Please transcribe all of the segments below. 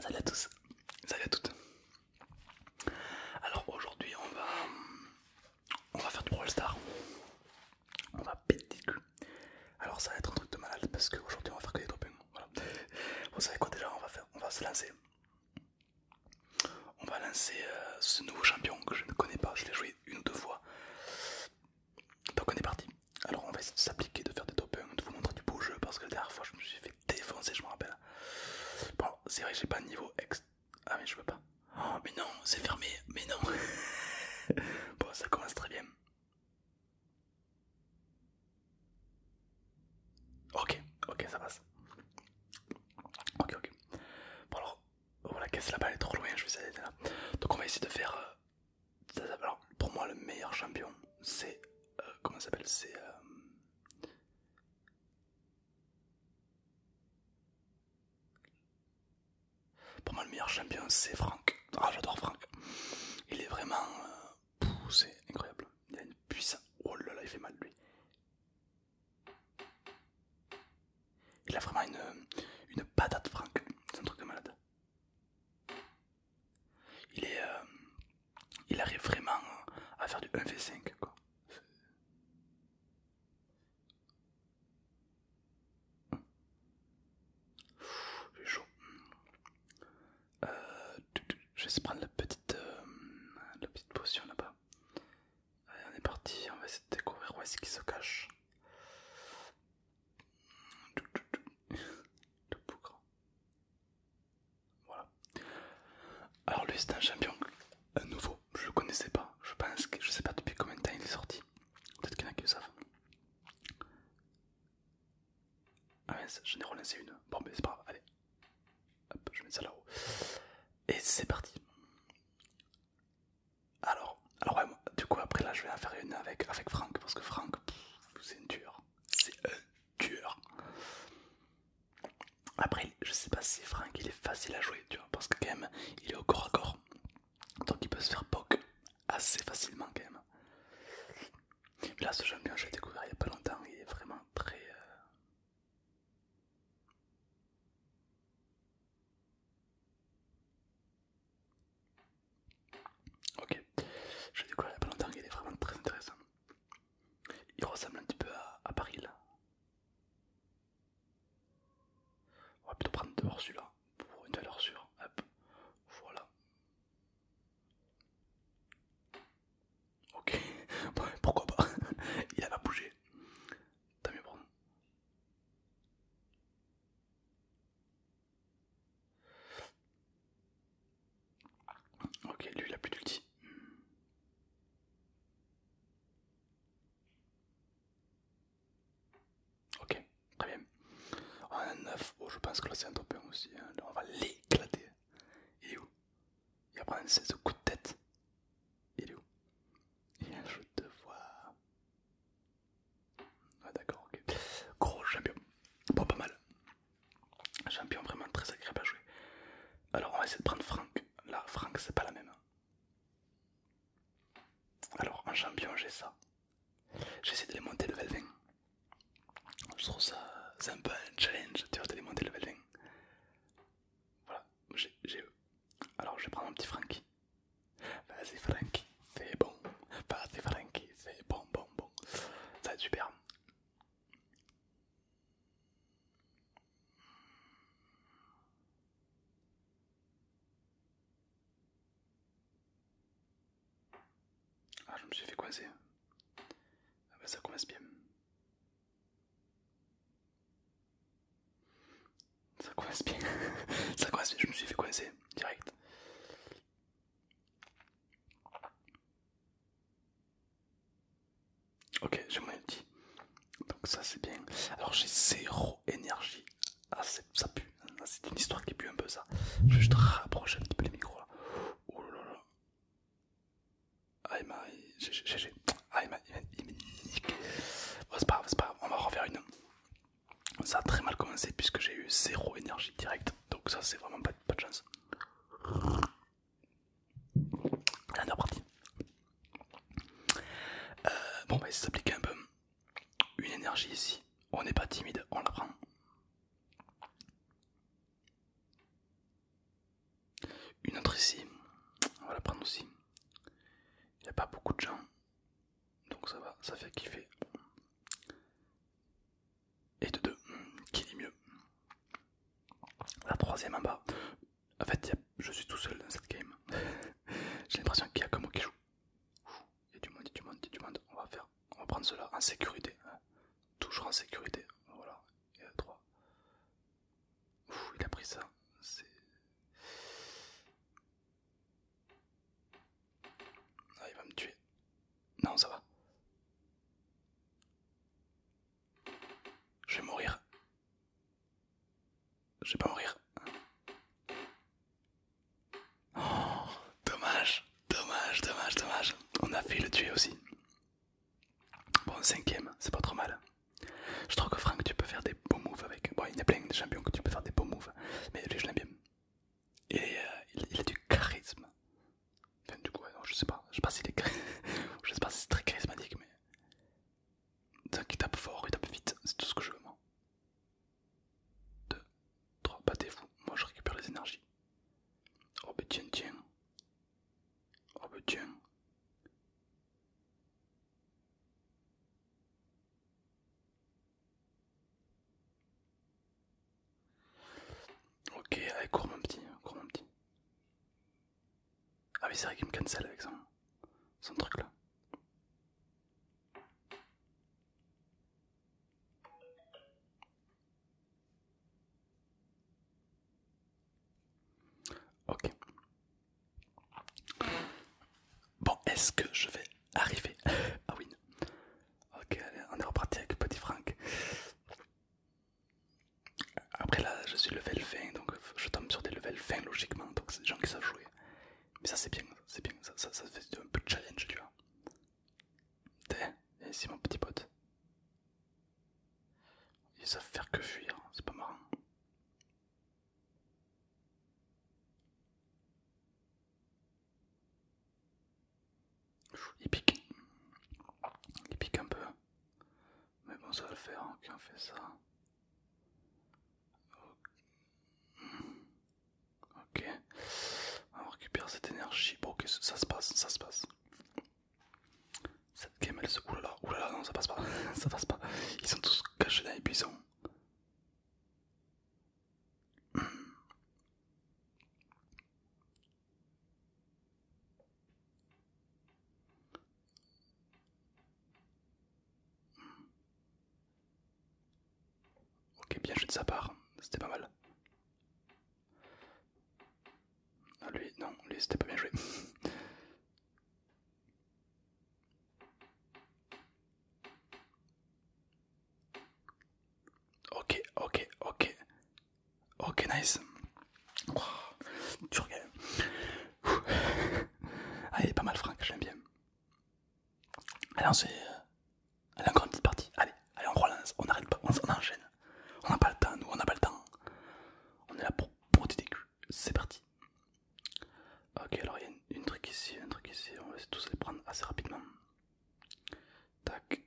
Salut à tous, salut à toutes. Alors aujourd'hui on va on va faire du Brawl Star. On va péter cul. Alors ça va être un truc de malade parce qu'aujourd'hui on va faire que des top Vous savez quoi déjà on va on va se lancer. On va lancer euh, ce nouveau champion que je ne connais pas, je l'ai joué une ou deux fois. Donc on est parti. Alors on va essayer de s'appliquer, de faire des top de vous montrer du beau jeu parce que la dernière fois je me suis fait défoncer, je me rappelle. Bon, c'est vrai j'ai pas niveau ex. Ah, mais je peux pas. Oh, mais non, c'est fermé, mais non. bon, ça commence très bien. Ok, ok, ça passe. Ok, ok. Bon, alors, voilà, caisse la elle est trop loin, je vais essayer d'être là. Donc, on va essayer de faire euh, alors, pour moi, le meilleur champion, c'est. Euh, comment ça s'appelle C'est. Euh, pour moi, le meilleur champion, c'est Franck. Ah, j'adore Franck. Il est vraiment. Euh, poussé c'est incroyable. Il a une puissance. Oh là là, il fait mal lui. Il a vraiment une, une patate, Franck. C'est un truc de malade. Il est, euh, il arrive vraiment euh, à faire du 1v5 quoi. J'ai chaud. Euh, je vais se prendre la petite, la petite potion là-bas. Allez, on est parti, on va essayer de découvrir où est-ce qu'il se cache. Alors lui c'est un champion à nouveau, je le connaissais pas, je pense que je sais pas depuis combien de temps il est sorti. Peut-être qu'il y en a qui le savent. Ah mince, j'en ai relancé une. Bon mais c'est pas grave, allez. Hop, je mets ça là-haut. Et c'est parti. Alors, alors ouais, du coup après là je vais en faire une avec, avec Franck parce que Franck, c'est dur. C'est un euh, tueur Après, je sais pas si Frank il est facile à jouer, tu vois, parce que quand même, il est au corps à corps. Donc il peut se faire poke assez facilement quand même. là, ce champion bien, je l'ai découvert il y a pas longtemps, il est vraiment très... Euh, Ok, je vais découvert la y est vraiment très intéressante. Il ressemble un petit peu à, Paris là. On va plutôt prendre dehors celui-là pour une valeur sûre. voilà. Ok, pourquoi pas Il a pas bougé. Tant mieux prendre. Ok, lui il a plus d'ulti. Ok, très bien. On oh, a un 9. Oh, je pense que là c'est un top 1 aussi. Hein. Là, on va l'éclater. Il est où Il va prendre un 16 coup de tête. Il est où Il a un jeu de voix ouais ah, d'accord, ok. Gros champion. Bon, pas mal. Champion vraiment très agréable à jouer. Alors on va essayer de prendre Franck. Là, Franck, c'est pas la même. Hein. Alors un champion, j'ai ça. J'essaie de les monter level 20. Je trouve ça un peu un challenge, tu de les monter level 20. Voilà, j'ai eux. Alors je vais prendre un petit Francky. Vas-y Franck c'est bon. Pas c'est c'est bon, bon, bon. Ça va super. Ah, je me suis fait coincer. Ah, bah, ça commence bien. Ça coince bien, ça coince bien, je me suis fait coincer direct. Ok, j'ai mon outil. Donc ça c'est bien. Alors j'ai zéro énergie. Ah ça pue. Ah, c'est une histoire qui pue un peu ça. Je vais juste rapprocher un petit peu les micros là. Oh là là. Ah GG. il c'est pas grave, c'est pas grave. On va refaire une. Ça a très mal commencé puisque j'ai eu zéro énergie directe, donc ça c'est vraiment pas, de chance. on est parti. Euh, bon, bah, ça s'applique un peu. Une énergie ici, on n'est pas timide, on la prend. Une autre ici, on va la prendre aussi. Il n'y a pas beaucoup de gens, donc ça va, ça fait kiffer. Et de deux, qui dit mieux La troisième en bas. En fait, je suis tout seul dans cette game. J'ai l'impression qu'il y a que moi qui joue. Il y a du monde, il y a du monde, il y a du monde. On va faire, on va prendre cela en sécurité. Hein. Toujours en sécurité. Voilà. Et à 3. il a pris ça. C'est. Ah, il va me tuer. Non, ça va. Je vais mourir. Je vais pas mourir. Oh, dommage, dommage, dommage, dommage. On a fait le tuer aussi. Bon, cinquième, c'est pas trop mal. Je trouve que Franck, tu peux faire des beaux moves avec. Bon, il y a plein de champions que tu peux faire des beaux moves, mais lui, je l'aime bien. Et euh, il, a du charisme. Enfin, du coup, je sais pas, je sais pas si il est... c'est très charismatique, mais il tape fort, il tape vite, c'est tout ce que je veux moi. 2, 3, battez-vous, moi je récupère les énergies. Oh bah tiens, tiens. Oh bah tiens. Ok, allez, court mon petit, cours mon petit. Ah oui, c'est vrai qu'il me cancel avec son, son truc là. Ok. Bon, est-ce que je vais arriver à win Ok, allez, on est reparti avec Petit Franck. Après là, je suis level 20, donc je tombe sur des level 20 logiquement, donc c'est des gens qui savent jouer. Mais ça c'est bien, c'est bien, ça, ça, fait un peu de challenge, tu vois. T'es, et ici mon petit pote. Ils savent faire que fuir, hein, c'est pas marrant. Il pique. Il pique un peu. Mais bon, ça va le faire Ok, on hein, fait ça. Ok. On récupère cette énergie. Bon, ok, ça se passe, ça se passe. Cette game, elle se. Oulala, oulala, non, ça passe pas. ça passe pas. Ils sont tous cachés dans les Ok, bien joué de sa part, c'était pas mal. Ah lui, non, lui c'était pas bien joué. Ok, ok, ok. Ok, nice. Tu dur game. Ah, pas mal Franck, j'aime bien. Allez, on se... Euh, allez, encore une petite partie. Allez, allez, on relance, on arrête pas, on, enchaîne. On n'a pas le temps, nous, on n'a pas le temps. On est là pour des culs. C'est parti. Ok, alors il y a une, truc ici, une truc ici. On va tous les prendre assez rapidement. Tac.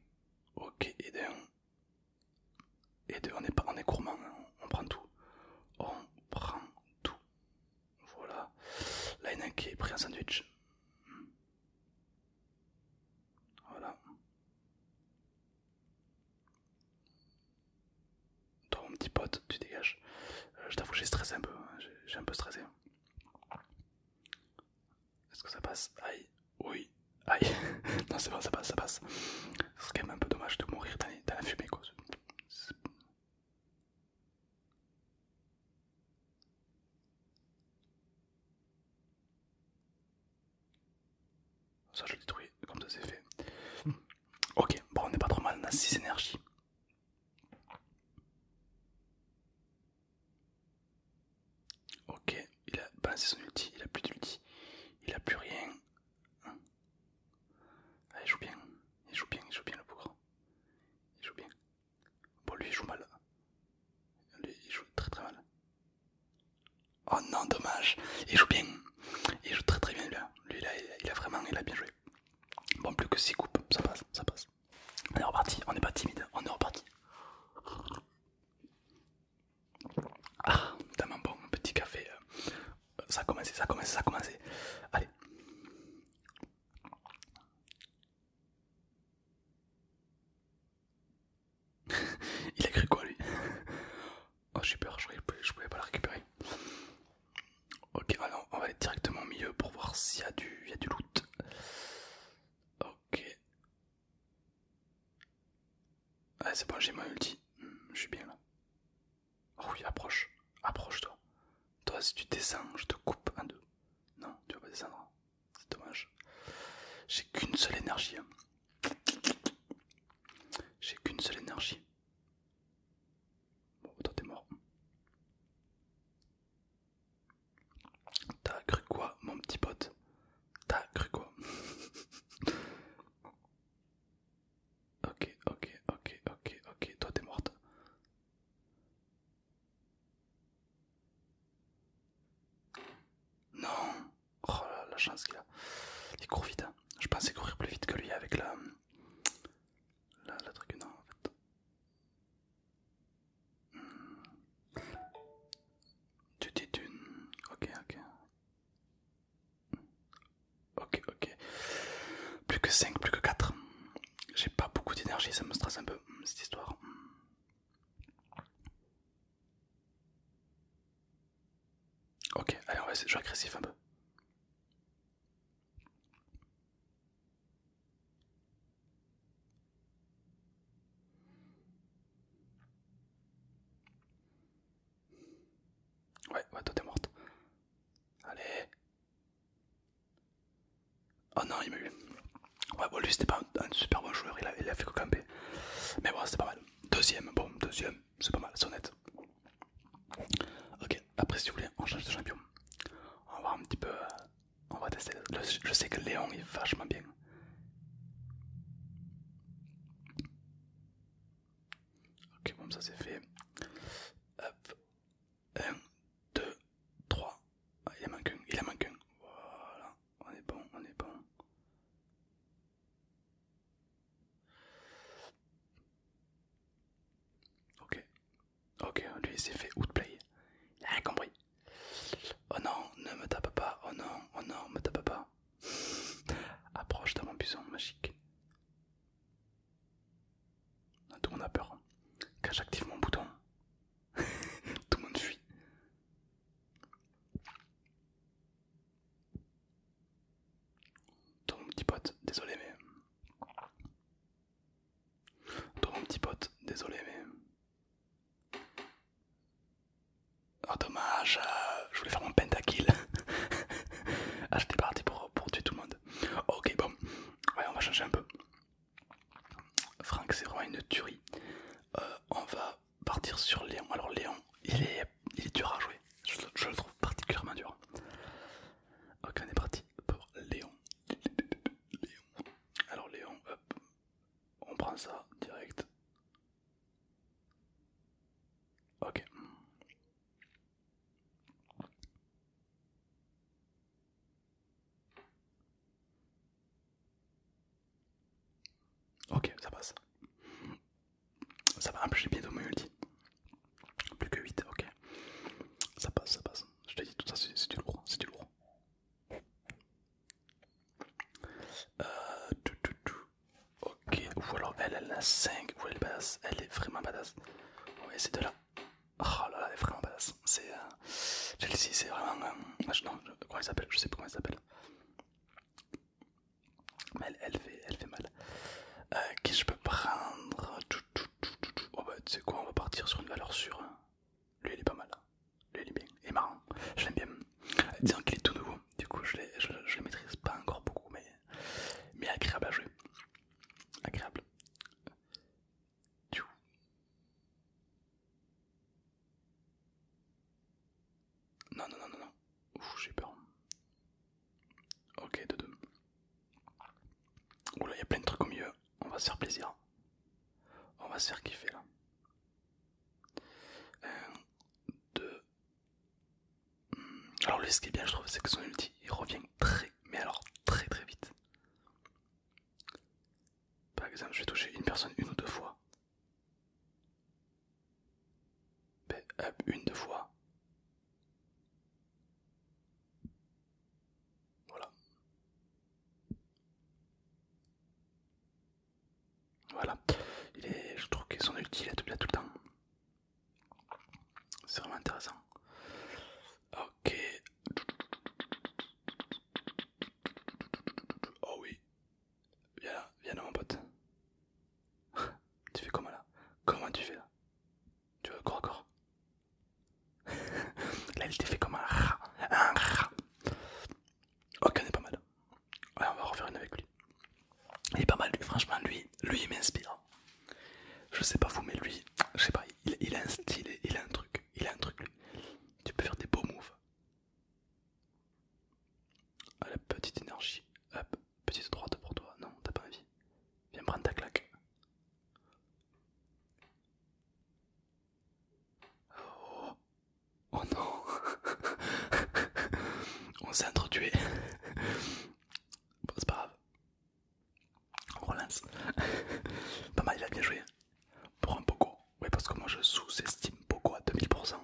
Ok, et d'un. Et deux, on est, on est gourmand, hein. on prend tout. On prend tout. Voilà. Là, il y en a un qui est pris un sandwich. Voilà. Toi, mon petit pote, tu dégages. Euh, je t'avoue, j'ai stressé un peu. Hein. J'ai un peu stressé. Est-ce que ça passe Aïe. Oui. Aïe. non, c'est bon, ça passe, ça passe. Ce serait quand même un peu dommage de mourir dans, la fumée, quoi. Ça, je le détruis, comme ça, c'est fait. Hmm. Ok, bon, on n'est pas trop mal, on a 6 énergies. Ok, il a balancé son ulti, il a plus d'ulti, il a plus rien. Ah, il joue bien, il joue bien, il joue bien le Bourg. Il joue bien. Bon, lui il joue mal. il joue très très mal. Oh non, dommage, il joue bien. Il joue très très bien lui. Hein. Lui là, il a, vraiment bien joué. Bon, plus que 6 coupes, ça passe, ça passe. On est reparti, on n'est pas timide, on est reparti. Ah, tellement bon, mon petit café. Euh, ça a commencé, ça a commencé, ça a commencé. Allez. Il a écrit quoi lui Oh j'ai peur, je pouvais, pouvais pas le récupérer. Ok, alors on va aller directement au milieu pour voir s'il y a du loot. Ok. Ah, c'est bon, j'ai mon ulti. Hmm, je suis bien là. Oh oui, approche. Approche-toi. Toi, si tu descends, je te coupe en deux. Non, tu vas pas descendre. C'est dommage. J'ai qu'une seule énergie. Hein. J'ai qu'une seule énergie. Bon, toi t'es mort. T'as cru quoi, mon petit pote T'as cru quoi Ok, ok, ok, ok, ok, toi t'es morte. Non Oh la, la chance qu'il a. Il court vite. Hein. Je pensais courir plus vite que lui avec La, la truc, non en fait. Tu t'es d'une. Ok, ok. Ok, ok. Plus que 5, plus que 4. J'ai pas beaucoup d'énergie, ça me stresse un peu cette histoire. Ok, allez, on va agressif un peu. Ouais, ouais, toi t'es morte. Allez. Oh non, il m'a eu. Ouais, bon, lui c'était pas un, super bon joueur, il a, fait que Mais bon, c'était pas mal. Deuxième, bon, deuxième, c'est pas mal, c'est honnête. Ok, après si vous voulez, on change de champion. On va voir un petit peu euh, on va tester. je sais que Léon est vachement bien. Ok, bon, ça c'est fait. Hop. 1, 2, 3. il a manque Il a manque Voilà. On est bon, on est bon. Ok. Ok, lui il s'est fait outplay. Il a compris. Oh non, ne me tape pas, oh non, oh non, me tape pas. Approche de mon buisson magique. Tout le monde a peur. Quand hein. j'active mon bouton, tout le monde fuit. Toi mon petit pote, désolé mais... Toi mon petit pote, désolé mais... Oh dommage, euh, je voulais faire mon pentakill. ah j'étais parti pour, tuer tout le monde. Ok bon, on va changer un peu. Franck c'est vraiment une tuerie. Euh, on va partir sur Léon. Alors Léon, il est, dur à jouer. Je, le trouve particulièrement dur. Ok on est parti pour Léon. Léon. Alors Léon, hop, on prend ça direct. Ok. Ok, ça passe. Ça va, j'ai bientôt mon multi. Plus que 8, ok. Ça passe, ça passe. Je te dis tout ça, c'est du lourd, c'est du lourd. Euh, Ok, ou alors elle, elle a 5, ou elle est elle est vraiment badass. Ouais, c'est de là. Ah, oh là là, elle est vraiment badass. C'est. Euh, celle-ci, c'est vraiment. Euh, ah, non, comment elle s'appelle Je sais pas comment elle s'appelle. Mais elle, fait, elle fait mal. Euh, qui je peux prendre oh, bah, tu sais quoi, on va partir sur une valeur sûre. Lui, il est pas mal. Lui, il est bien. Il est marrant. Je l'aime bien. Disons qu'il est tout nouveau. Du coup, je le maîtrise pas encore beaucoup, mais, mais agréable à jouer. Agréable. Non, non, non, non, non. Ouf, j'ai peur. Ok, de deux. Oula, il y a plein de trucs au milieu. On va se faire plaisir. On va se faire kiffer là. 1, euh, 2. Alors, lui, ce qui est bien, je trouve, c'est que son ulti il revient très, mais alors très très vite. Par exemple, je vais toucher une personne une ou deux fois. une, deux fois. Voilà. Voilà. Il est, je trouve qu'il est utiles à tout, à tout le temps. C'est vraiment intéressant. Ok. Oh oui. Viens là, viens là mon pote. tu fais comment là Comment tu fais là Tu veux corps encore Là, il était fait comme un rat. Un rat. Ok, on est pas mal. on va en refaire une avec lui. Il est pas mal, lui. Franchement, lui, lui il m'inspire. Je sais pas vous, mais lui, je sais pas, il, il a un style, il a un truc. Il a un truc, lui. Tu peux faire des beaux moves. Ah, la petite énergie. Hop, petite droite pour toi. Non, t'as pas envie. Viens prendre ta claque. Oh, non On s'est introduit. Bon c'est pas grave. On relance. pas mal il a bien joué. Pour un Poco. Oui parce que moi je sous-estime Poco à 2000%.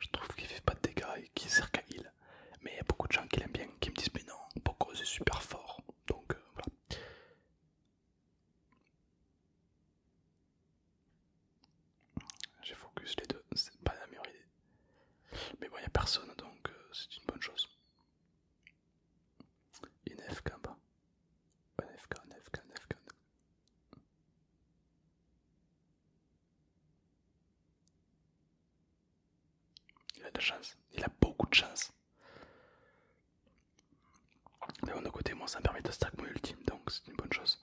Je trouve qu'il fait pas de dégâts et qu'il sert qu'à heal. Mais il y a beaucoup de gens qui l'aiment bien, qui me disent mais non, Poco c'est super fort. Donc euh, voilà. J'ai focus les deux, c'est pas la meilleure idée. Mais bon, il n'y a personne donc euh, c'est une bonne chose. il FK en bas. Il a de la chance, il a beaucoup de chance. De mon côté, moi ça me permet de stack mon ultime, donc c'est une bonne chose.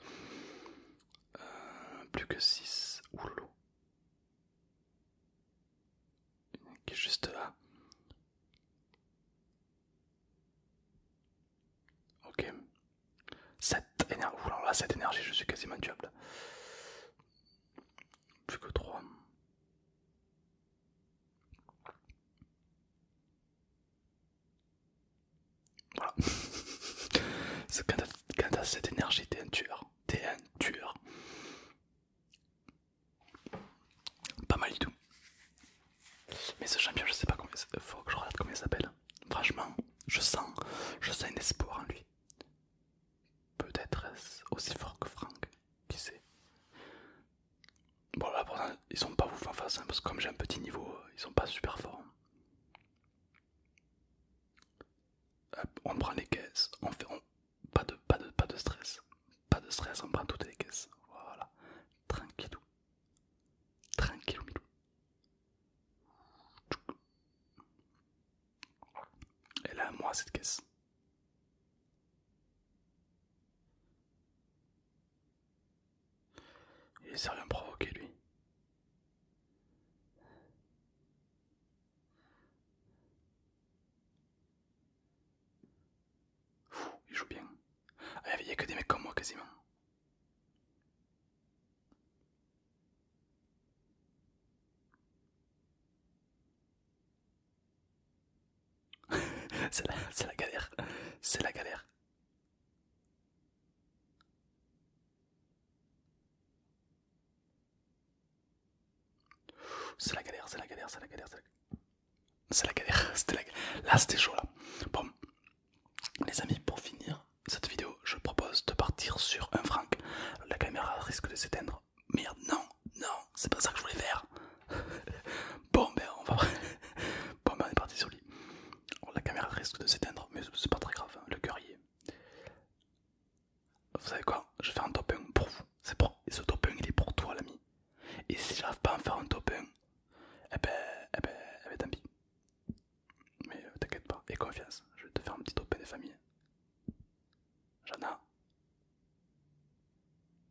Euh, plus que 6. oulou, Qui est juste là. Ok. 7 énergie. énergie, je suis quasiment tuable. Plus que 3. Voilà. quand t'as cette énergie, t'es un tueur. T'es un Pas mal du tout. Mais ce champion, je sais pas combien. Faut que je regarde comment il s'appelle. Franchement, je sens, je sens un espoir en lui. Peut-être aussi fort que Frank. qui sait. Bon là pour ils sont pas ouf en face hein, parce que comme j'ai un petit niveau, ils sont pas super forts. on prend les caisses, on fait Pas, de, pas, de, pas de stress. Pas de stress, on prend toutes les caisses. Voilà. Tranquillou. Tranquillou Elle a à moi cette caisse. Il à me provoquer lui. Fou, il joue bien. Ah, il n'y a que des mecs comme moi quasiment c'est la, la galère, c'est la galère. C'est la galère, c'est la galère, c'est la galère, c'est la... galère. C'était la... galère Là, c'était chaud là. Bon, les amis, pour finir cette vidéo, je propose de partir sur un franc. La caméra risque de s'éteindre. Merde, non, non, c'est pas ça que je voulais faire. bon, ben, on va. Bon, ben, on est parti sur lui. Oh, la caméra risque de s'éteindre, mais c'est pas très grave, hein, le cœur y est. Vous savez quoi Je vais faire un top 1 pour vous. C'est pour... Et ce top 1 il est pour toi, l'ami. Et si j'arrive pas à en faire un top 1, eh ben, eh ben, eh ben tant pis. Mais euh, t'inquiète pas, et confiance, je vais te faire un petit top 1 des familles. Jana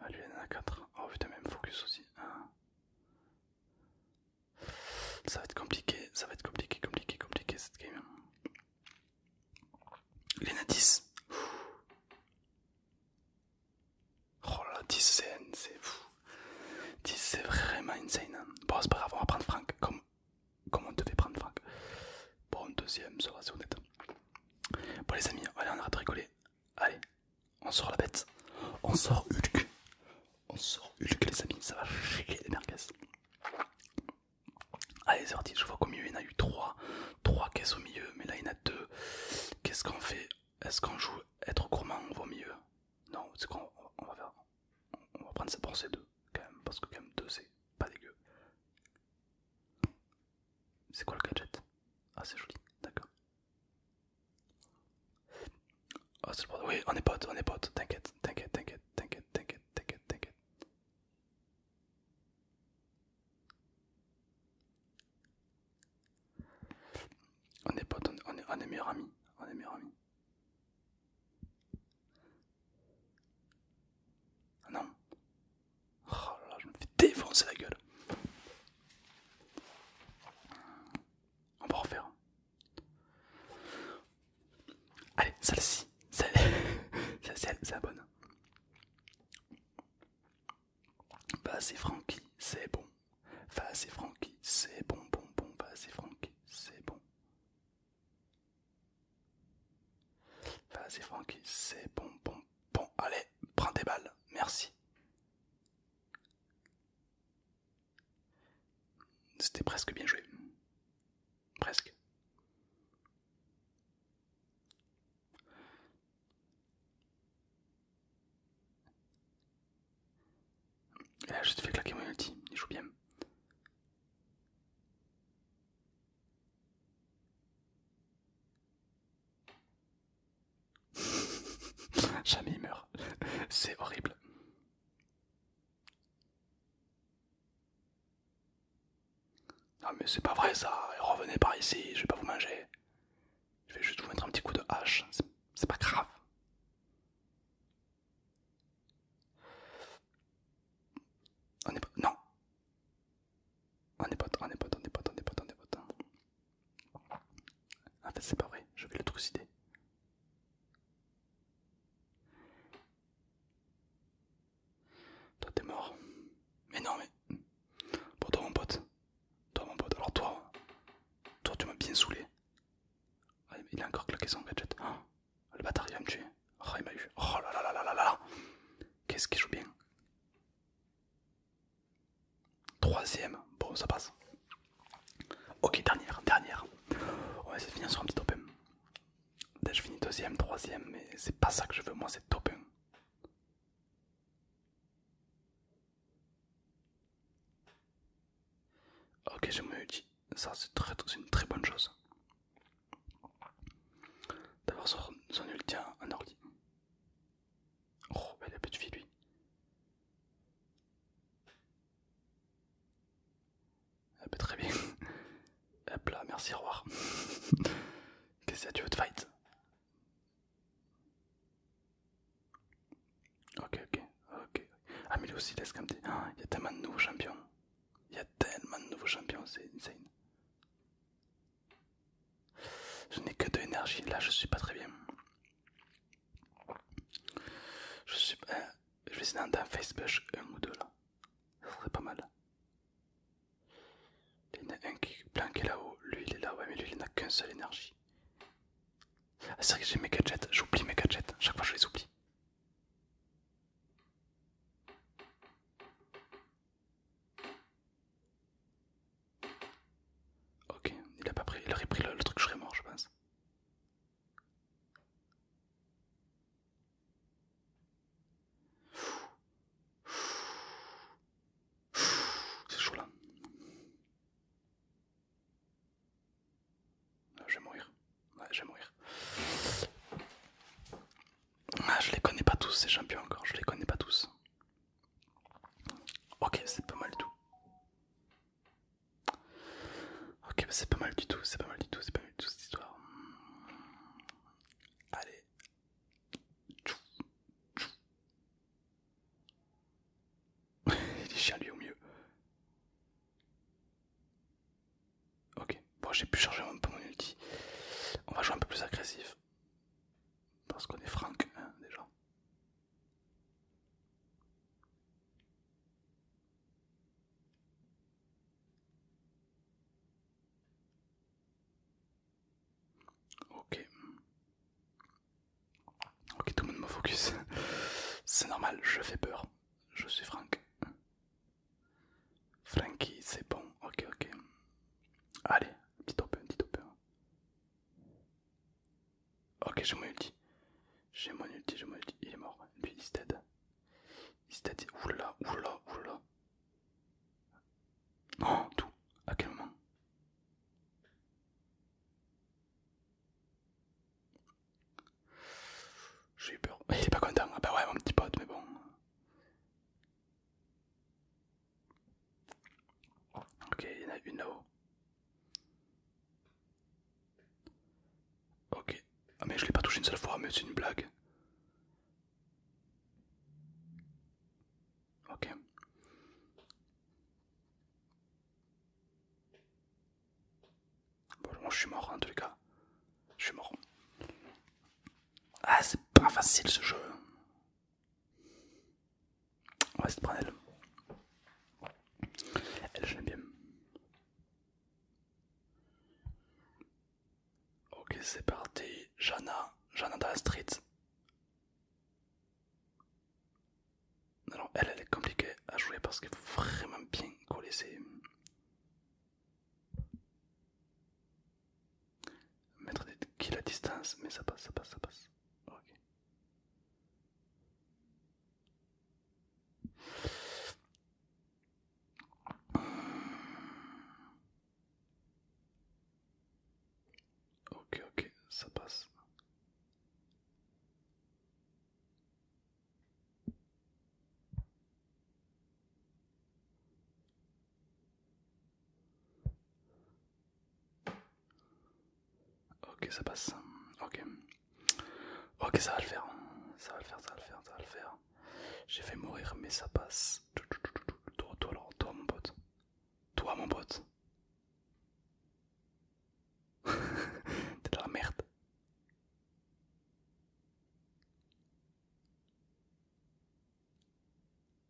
Ah, lui, il en a 4. Oh putain, même focus aussi. Ça va être compliqué, ça va être compliqué, compliqué, compliqué cette game. Il en a 10. Oh là 10 c'est fou. 10 c'est vraiment insane. Hein. Bon, c'est pas grave, on va prendre Franck comme, on devait prendre Franck. Bon, deuxième, ça va, c'est honnête. Bon les amis, allez on arrête de rigoler. Allez, on sort la bête. On sort Hulk. On sort Hulk les amis, ça va chier les merguez. Allez c'est parti, je vois qu'au milieu il y en a eu 3. 3 caisses au milieu, mais là il y en a 2. Qu'est-ce qu'on fait Est-ce qu'on joue être gourmand ou au milieu Non, c'est on va On va prendre ça pour ces deux, quand même, parce que quand même 2 c'est pas dégueu. C'est quoi le gadget Ah, c'est joli, d'accord. Ah, c'est Oui, on est potes, on est potes, t'inquiète, t'inquiète, t'inquiète, t'inquiète, t'inquiète, t'inquiète, t'inquiète. On est potes, on est, on est meilleurs amis, on est meilleurs amis. Ah non, Oh je me fais défoncer la gueule. On va refaire. Allez, celle-ci. celle celle, c'est la bonne. Vas-y, Francky, c'est bon. Vas-y, Francky, c'est bon, bon, bon. Vas-y, Francky, c'est bon. Vas-y, Francky, c'est bon, bon, Bon, allez, prends des balles. Merci. C'était presque bien joué. Presque. là, je te fais claquer mon ulti. Il joue bien. Jamais meurt. C'est horrible. Non mais c'est pas vrai ça, revenez par ici, je vais pas vous manger. Je vais juste vous mettre un petit coup de hache, c'est pas grave. Non. On est potes, on est potes, on est potes, on est potes, on est potes. En fait, c'est pas vrai, je vais le trucider. Toi, t'es mort. Mais non, mais. Pour toi, mon pote. Toi, mon pote. Alors, toi. Toi, tu m'as bien saoulé. Ah, il a encore claqué son gadget. Ah, le bâtard, il va me tuer. Oh, il m'a eu. Oh là là là là là là Qu'est-ce qu'il joue bien 3 Troisième, bon ça passe. Ok, dernière, dernière. On va essayer de finir sur un petit top 1. je finis 2ème, 3 troisième, mais c'est pas ça que je veux, moi c'est top 1. Ok, je me dis, ça c'est très, une très bonne chose. D'avoir son, ulti en un ordi. Oh, elle il a plus de vie, lui. Ah, bah, très bien. Hop là, merci, revoir Qu'est-ce que tu veux te fight Ok, ok, ok. Ah, mais lui aussi, laisse comme ah, Il y a tellement de nouveaux champions. Il y a tellement de nouveaux champions, c'est insane. Je n'ai que de énergies, Là, je suis pas très bien. Je suis. Euh, je vais essayer d'un Facebook un ou deux là. Ça serait pas mal. Il y en a un qui est là-haut. Lui, il est là. Ouais, mais lui, il n'a qu'une seule énergie. Ah, c'est vrai que j'ai mes gadgets. J'oublie mes gadgets. Chaque fois, je les oublie. Ok, il a pas pris, il aurait pris le, truc, je serais mort, je pense. C'est chaud là. Ah, je vais mourir. je vais mourir. Ah, je les connais pas tous, ces champions encore, je les connais pas tous. Ok, c'est pas mal du tout. Ok, c'est pas mal du tout, c'est pas mal du tout, c'est pas mal du tout cette histoire. Allez. Il est chiant lui au mieux. Ok, bon j'ai pu charger un peu mon ulti. On va jouer un peu plus agressif. Parce qu'on est Franck, hein, déjà. Ok. Ok, tout le monde me focus. C'est normal, je fais peur. Je suis Franck. Frankie, c'est bon. Ok, ok. Allez, Petit open, petit open. Ok, j'ai mon ulti. J'ai mon ulti, j'ai mon ulti. Il est mort. Lui, il dead Il stead. oula oula oula, Oh, tout. À quel moment J'ai eu peur. Il est pas content. Ah bah ouais, mon petit pote, mais bon. Ok, il y une Ok. Ah mais je l'ai pas touché une seule fois, mais c'est une blague. Ok. Bon, je suis mort en tout les cas. Je suis mort. Ah c'est pas facile ce jeu. On va prendre elle. Elle, bien. Ok, c'est parti. Jana, Jana dans la street. Alors, elle, elle est compliquée à jouer parce qu'il faut vraiment bien coller ses. Mettre des quilles à distance, mais ça passe, ça passe, ça passe. Ok, ok, ça passe. Ok, ça passe. Ok. Ok, ça va le faire. Ça va le faire, ça va le faire, ça va le faire. J'ai fait mourir, mais ça passe. Toi, toi, toi, mon pote. Toi, mon pote. T'es de la merde.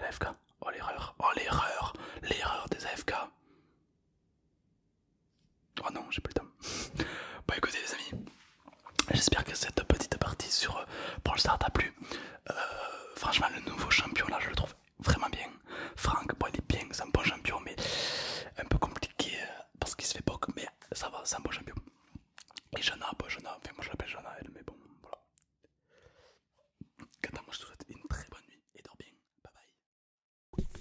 l'AFK. Oh l'erreur, oh l'erreur, l'erreur des AFK. Oh non, j'ai plus le temps. bon écoutez les amis, j'espère que cette petite partie sur euh, Brawl t'a plu. Euh, franchement le nouveau champion là je le trouve vraiment bien. Franck, bon il est bien, c'est un bon champion mais un peu compliqué euh, parce qu'il se fait poke mais ça va, c'est un bon champion. Et Jana, bon Jana, enfin moi je l'appelle Jana elle mais bon voilà. Quand moi, je te souhaite une très bonne nuit et dors bien. Bye bye.